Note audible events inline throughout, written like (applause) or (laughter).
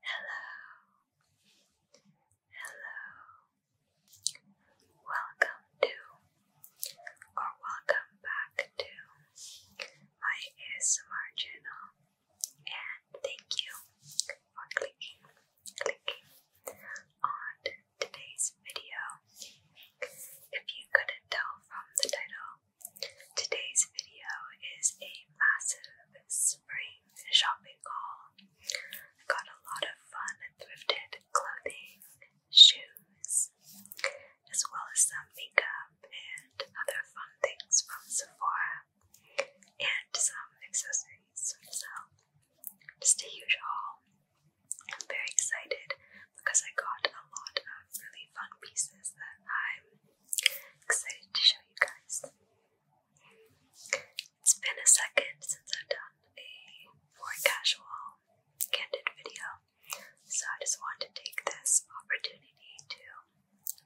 Hello. Hello. Welcome to or welcome back to uh, my channel and thank you for clicking clicking on today's video. If you couldn't tell from the title, today's video is a massive spring shopping haul. I got a lot of fun thrifted clothing, shoes, as well as some makeup and other fun things from Sephora and some accessories. So, just a huge haul. I'm very excited because I got a lot of really fun pieces that I'm Excited to show you guys. It's been a second since I've done a more casual, candid video, so I just want to take this opportunity to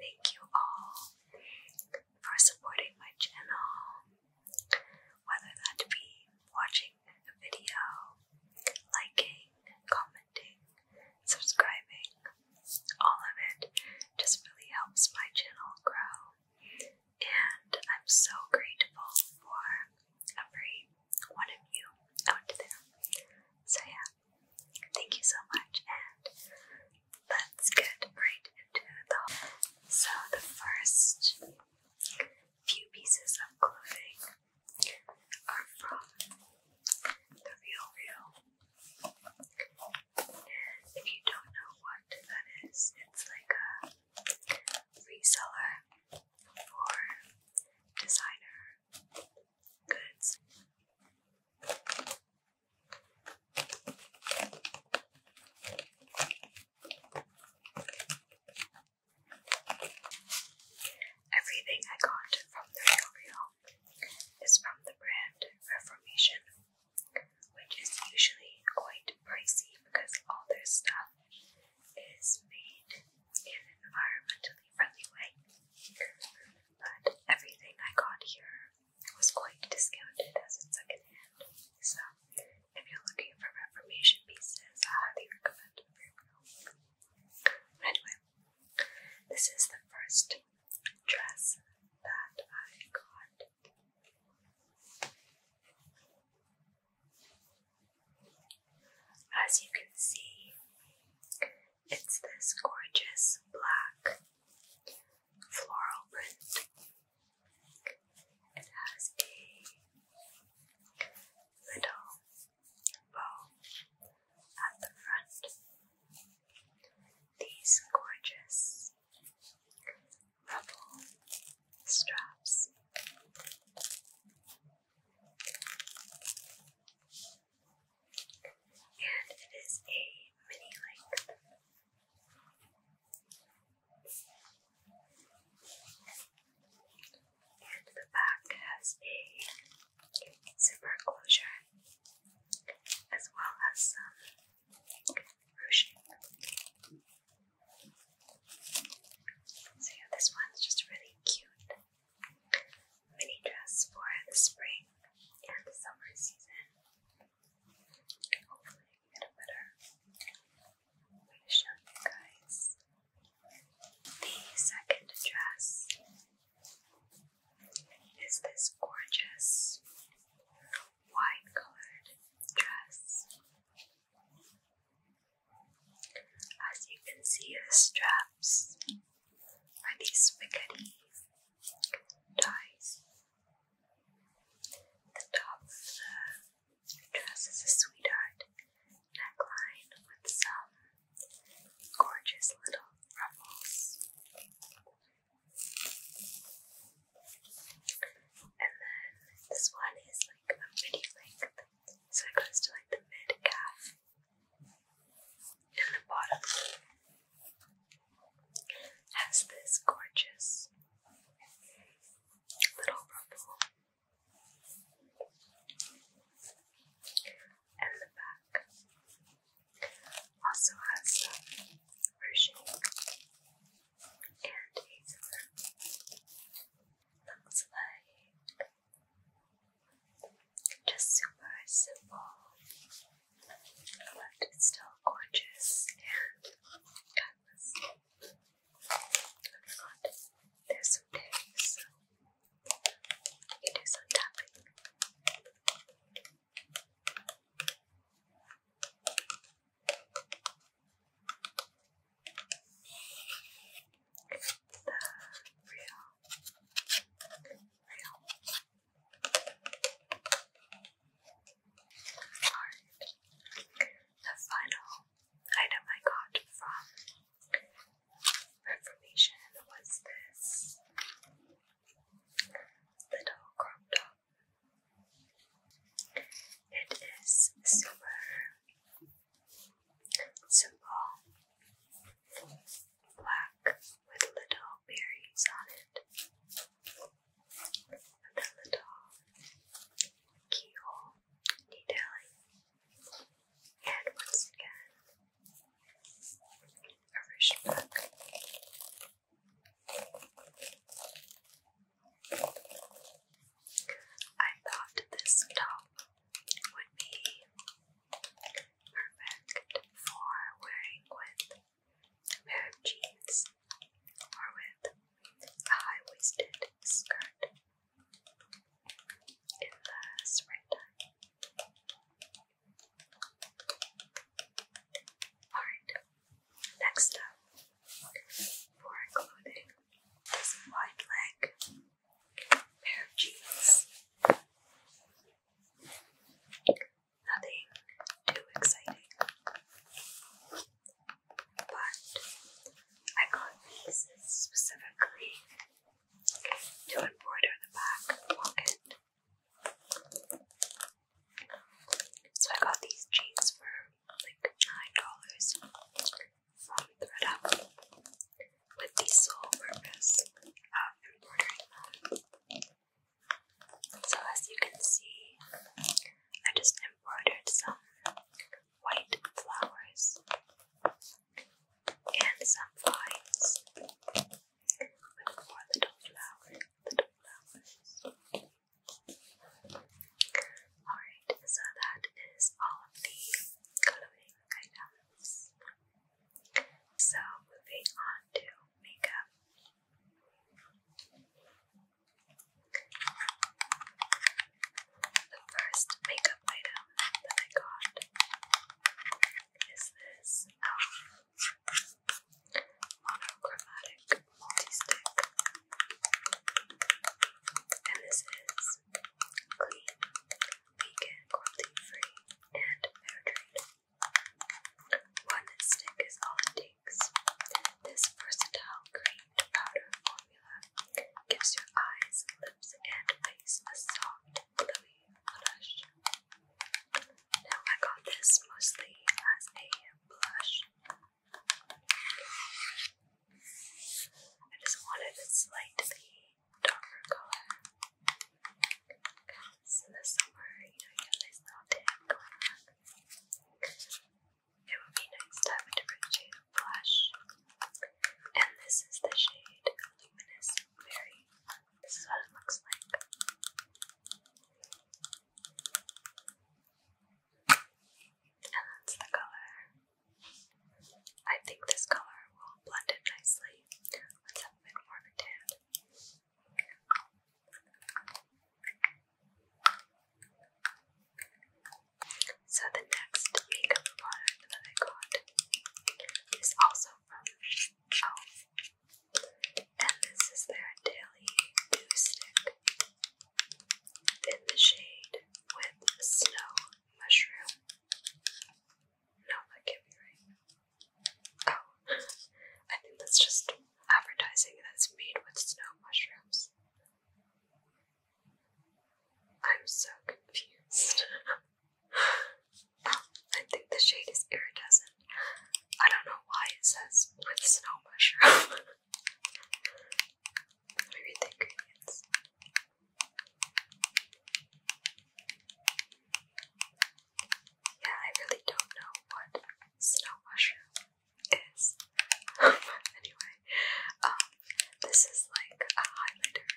thank you all for supporting my channel, whether that be watching a video, liking, commenting, subscribing, all of it just really helps my channel grow. And I'm so grateful for every one of you out there. So, yeah, thank you so much. And let's get right into the. So, the first few pieces of clothing are from The Real Real if you don't know what that is, it's like a reseller for designer goods. Everything I got from the Real Real is from the brand Reformation, which is usually quite pricey because all their stuff is made in an environmentally friendly way. But everything I got here was quite discounted as in secondhand. So if you're looking for Reformation pieces, I highly recommend it for you. Anyway, this is the first dress that I got. As you can see, it's this gorgeous black floral print. It has a little bow at the front. These gorgeous rubble straps. And it is a mini length. And the back has a Super closure, as well as some ruching. So yeah, this one's just really cute mini dress for the spring and summer season. Hopefully, get a better way to show you guys. The second dress is this gorgeous white colored dress. As you can see, the straps are these spaghetti ties. The top of the dress is a sweetheart neckline with some gorgeous little ruffles. And then this one is like a midi length, so it goes to like the mid calf and the bottom has this gorgeous little ruffle and the back. Also has some ruching and hazelnut. Looks like just super simple, but it's still gorgeous and timeless. I oh forgot there's some you do some tapping. the final item I got from Reformation was this little crop top. It is super simple, black with little berries on it, and a little keyhole detailing. And once again, a ruched book. I thought this top would be perfect for wearing with pair of jeans or with a high waisted skirt in the springtime. Alright, next up for clothing this wide leg pair of jeans. Nothing too exciting. But I got these specifically to embroider the back pocket. So I got these jeans for like nine dollars from ThreadUp with the sole purpose of embroidering them. So as you can see, I just embroidered some white flowers and some vines with more little flowers, Alright, so that is all of the coloring items. So moving on to makeup. The first makeup item that I got is this um, monochromatic multi-stick. And this is clean, vegan, cruelty-free, and fair trade. One stick is all it takes. This versatile cream to powder formula gives your eyes, lips, and face a soft, glowy blush. Now, I got this mostly as a blush. I just wanted a slightly darker color. Because in the summer, you know, you tan It would be nice to have a different shade Blush. And this is the shade Luminous Very, This is what it looks like. And that's the color. I think this color will blend it nicely. Let's have a bit more of a tan. So the next makeup product that I got is also from Elf, and this is their Daily Dew Stick in the shade with Snow Mushroom. No, that can't be right. Oh, (laughs) I think that's just advertising that's made with snow mushrooms. I'm so confused. (laughs) I think the shade is iridescent. I don't know why it says with snow mushroom. Let me read the ingredients. Yeah, I really don't know what snow mushroom is. (laughs) anyway, um, this is like a highlighter.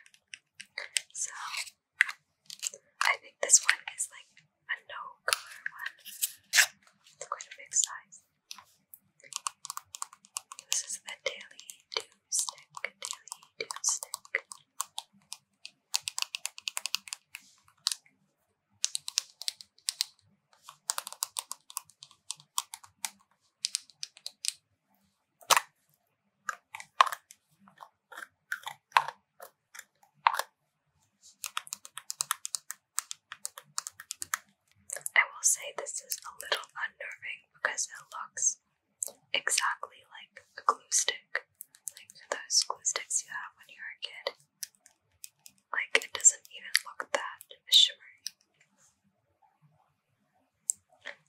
So I think this one is like a no color one. quite a big size. This is the Daily Dew Stick. Daily Dew Stick. I will say this is a little unnerving because it looks exactly like a glue stick, like those glue sticks you have when you're a kid. Like, it doesn't even look that shimmery.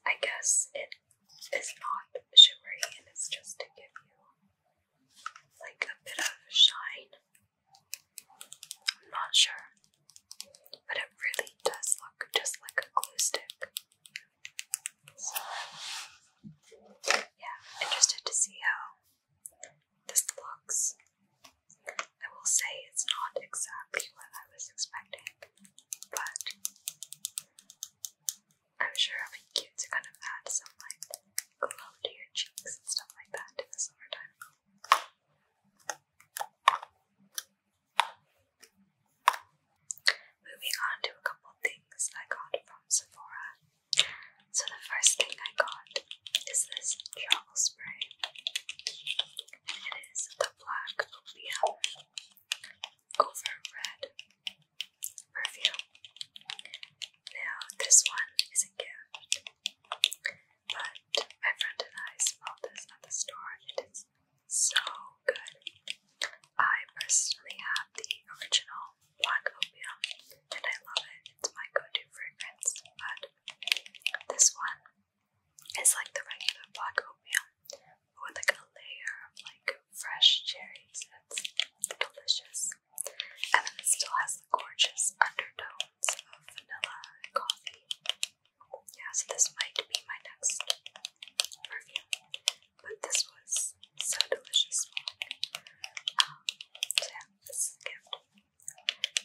I guess it is not shimmery and it's just to give you like a bit of shine. I'm not sure. But it really does look just like a glue stick. yeah, interested to see how this looks. I will say it's not exactly what I was expecting, but I'm sure it'll be cute to kind of add some like glow to your cheeks and stuff like that in the summertime. Moving on to a couple things I got from Sephora. So the first thing I got is this travel spray. it is the black opium over red perfume. Now this one is a gift, but my friend and I smelled this at the store it is so good. I personally have the original black opium and I love it. It's my go-to fragrance, but this one it's like the regular black oatmeal, but with like a layer of like fresh cherries. It's delicious. And then it still has the gorgeous undertones of vanilla and coffee. Yeah, so this might be my next perfume. But this was so delicious. Um, so this gift.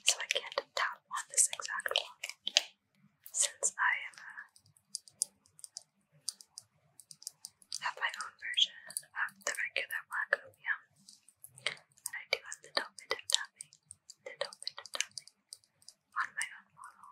So I can't tap on this exact one since I am uh, have my own version of the regular black opium. And I do a little bit of tapping, little bit of tapping on my own model.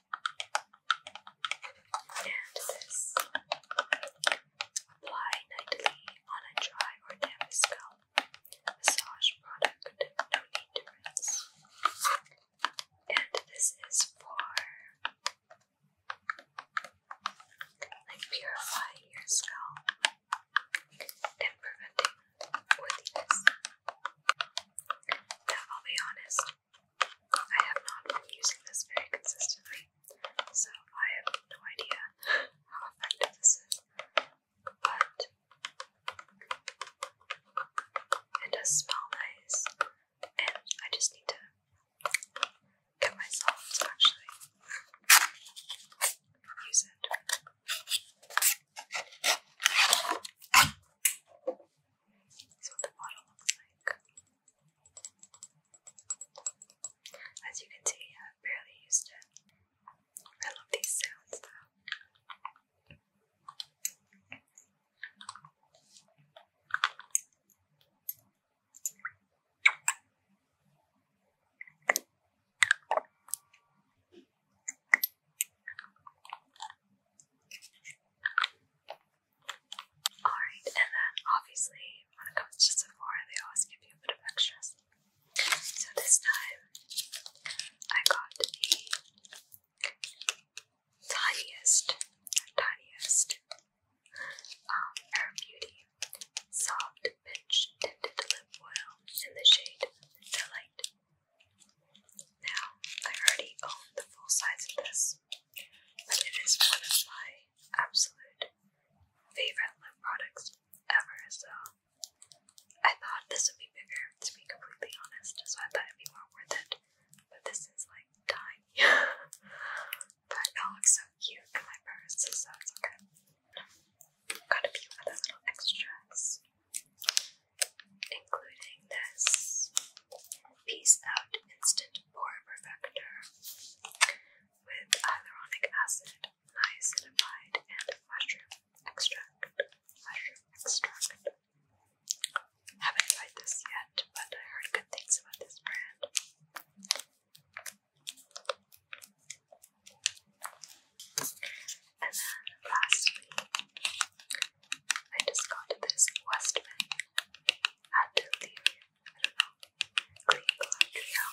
And this. Apply nightly on a dry or damp scalp. Massage product, no need to rinse. And this is for like purifying your scalp and preventing oiliness. Now I'll be honest, I have not been using this very consistently, so I have no idea how effective this is, but it does smell nice, and I just need to get myself to use it. That's the bottle looks like. As you can see, i am barely used it. I love these sounds though. Alright, and then obviously when it comes to Sephora, they always give you a bit of extras. So this time I got the tiniest, tiniest um, Air Beauty Soft Pinch Tinted Lip Oil in the shade Delight. Now, I already own the full size of this, it is one of my absolute favorite lip products ever, so I thought this would be bigger, to be completely honest, so I thought it'd be more worth it. But this is like tiny. (laughs) but it all looks so cute in my purse, so it's okay. Got a few other little extras including this Peace Out Instant Pore Perfector with hyaluronic acid, niacinamide, and Mushroom extract. Haven't tried this yet, but I heard good things about this brand. And then lastly, I just got this Westman Atelier, I don't know, Green Glandria,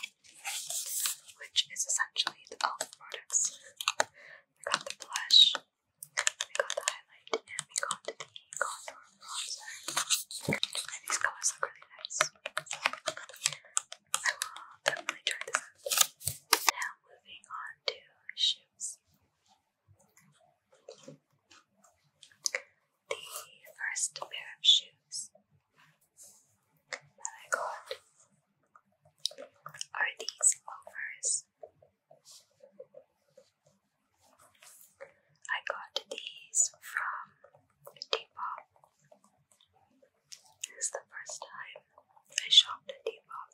which is essentially the e.l.f. products. We got the blush, we got the highlight, and we got the contour bronzer. And these colors look really nice. I will definitely try this Now moving on to shoes. The first pair of shoes that I got are these loafers. I got these from Depop. This is the first time I shopped Depop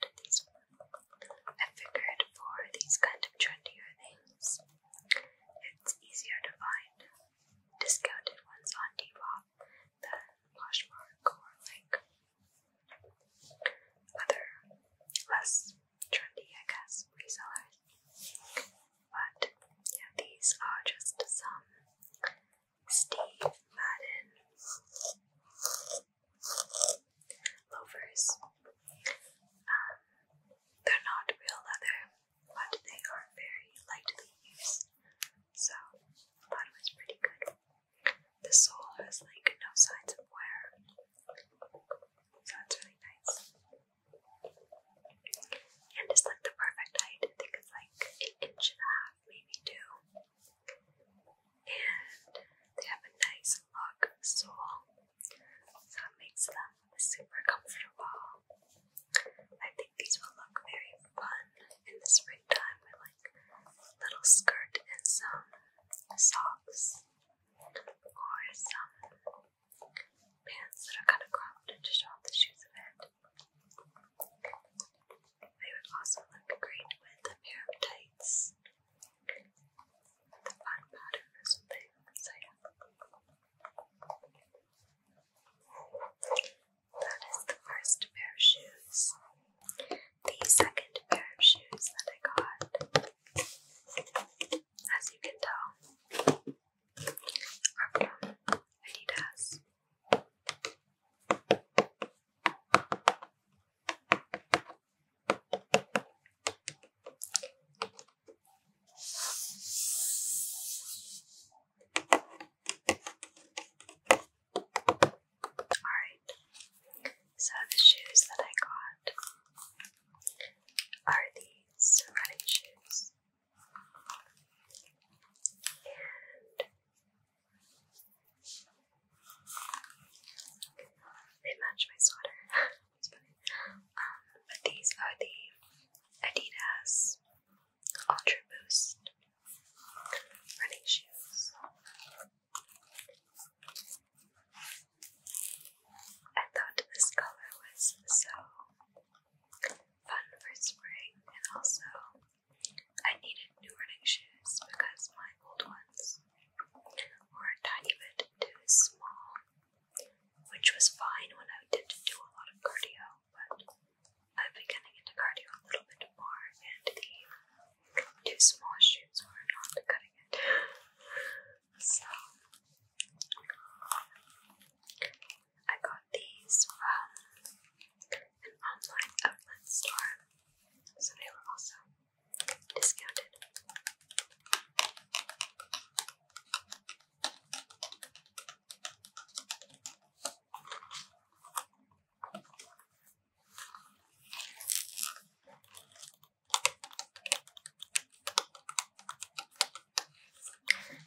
but these I figured for these kind of trendier things, it's easier to find discounted ones on Depop than Poshmark or like other less trendy, I guess, resellers. But yeah, these are just some Steve Madden Lovers, um, they're not real leather, but they are very lightly used, so I thought it was pretty good. The sole has like no signs of wear, so it's really nice. And it's like the perfect height. I think it's like an inch and a half, maybe two and they have a nice lug sole, so it makes them super comfortable. I think these will look very fun in the springtime with like a little skirt and some socks or some pants that are kind of cropped to show off the shoes a bit. They would also look great with a pair of tights. The fun pattern or something. So yeah. That is the first pair of shoes. The second pair of shoes that I got, as you can tell, are from Adidas. Alright, so the shoes that I got are these running shoes. And they match my sweater. (laughs) Um, but these are the Adidas Ultra Boost running shoes. I thought this color was so fun for spring and also I needed new running shoes because my old ones were a tiny bit too small, which was fine when I did not do a lot of cardio, but I've been getting into cardio a little bit more, and the two small shoes were not cutting it. So I got these from an online outlet store, so they were also discounted.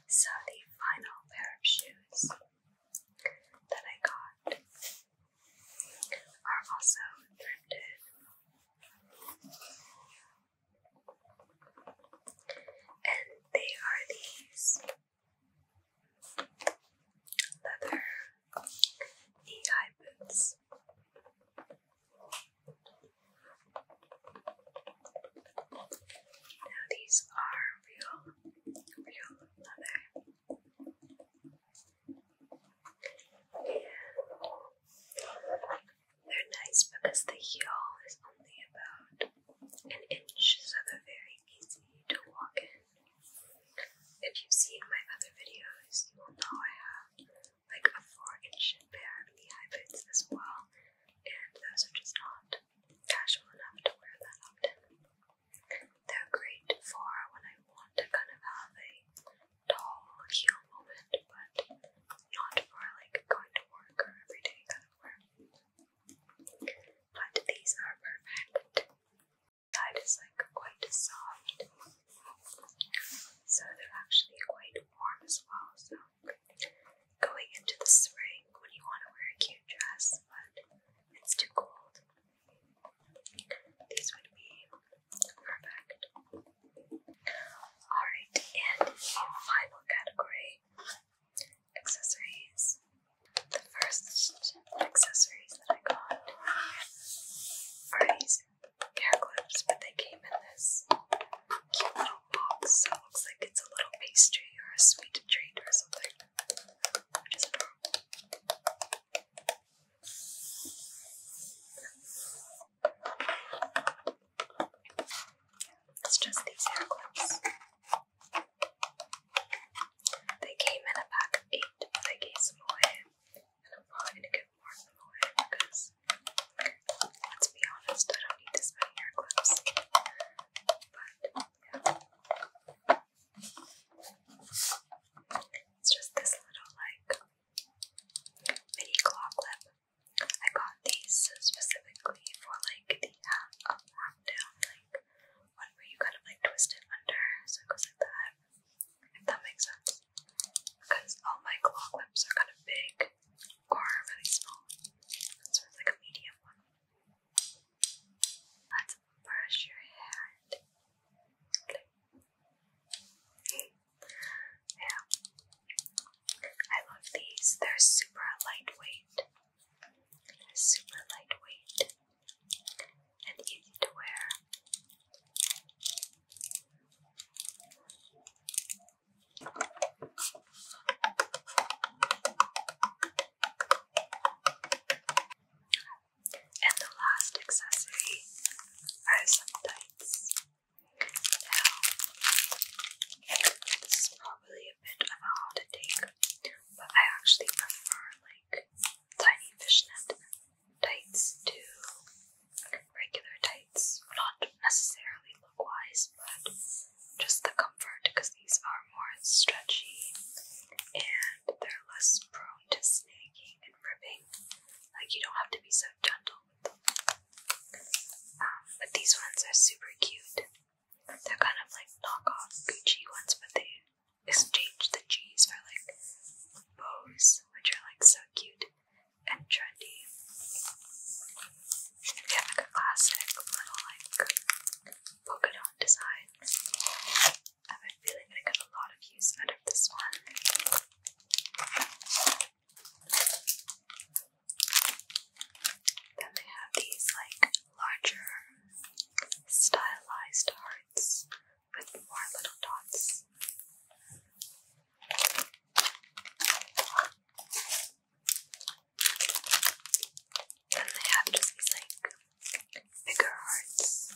So the final pair of shoes that I got are also thrifted. And they are these leather knee high boots. Now, these are real, real leather. They're nice because the heel is only about an inch, so they're very easy to walk in. If you've seen my other videos, you will know I have like a 4 inch pair of knee high boots as well, and those are just not casual enough to wear that often. They're great for when I want to kind of have a tall heel moment, but not for like going to work or everyday kind of wear. But these are perfect. Side is like quite soft, so they're actually quite warm as well. So going into the spring when you want to wear a cute dress, but it's too cold. These would be perfect. Alright, and final category accessories. The first accessories that I got are these hair clips, but they came in this cute little box, so it looks like it's a little pastry or a sweet treat or something. It's just these hair clips. They came in a pack of eight, but I gave some away, and I'm probably gonna give more of them away because, let's be honest, I don't need this many hair clips. It's just this little like mini claw clip. I got these specifically for like the um, up, and down, like one where you kind of like twist it under, so it goes like that. If that makes sense, because all my claw clips are kind of big or really small. So it's like a medium one. Let's brush your hair. yeah. I love these. They're super lightweight. super lightweight and easy to wear. And the last accessory are some tights. Now, this is probably a bit of a hard to take, but I actually prefer like tiny fishnet tights to regular tights. Not necessarily look wise, but just the comfort because these are are more stretchy and they're less prone to snagging and ripping. Like, you don't have to be so gentle with them. Um, but these ones are super cute. They're kind of like knockoff Gucci ones, but they exchange the G's for like bows, which are like so cute and trendy. You get like a classic little like polka design. I have a feeling I get a lot of use out of this one. Then they have these like larger stylized hearts with more little dots. Then they have just these like bigger hearts.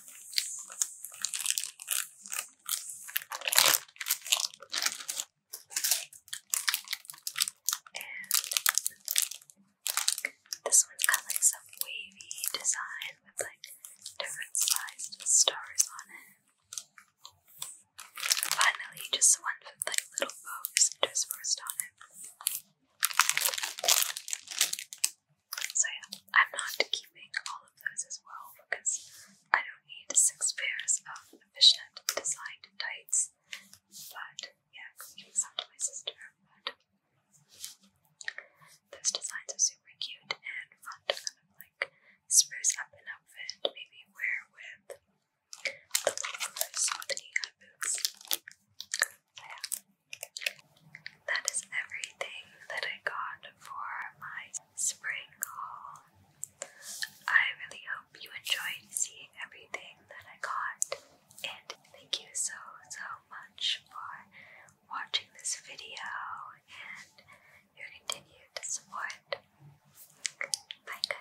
this one's got like some wavy design with like different sized stars on it. finally, just one with like little bows interspersed on it. So yeah, I'm not keeping all of those as well because I don't need six pairs of fishnet designed tights. But yeah, I could give some to my sister. But those designs are super cute and fun to kind of like spruce up an outfit, maybe wear with so That is everything that I got for my spring haul. I really hope you enjoyed seeing everything that I got, and thank you so, so much for watching this video and your continued support. Bye,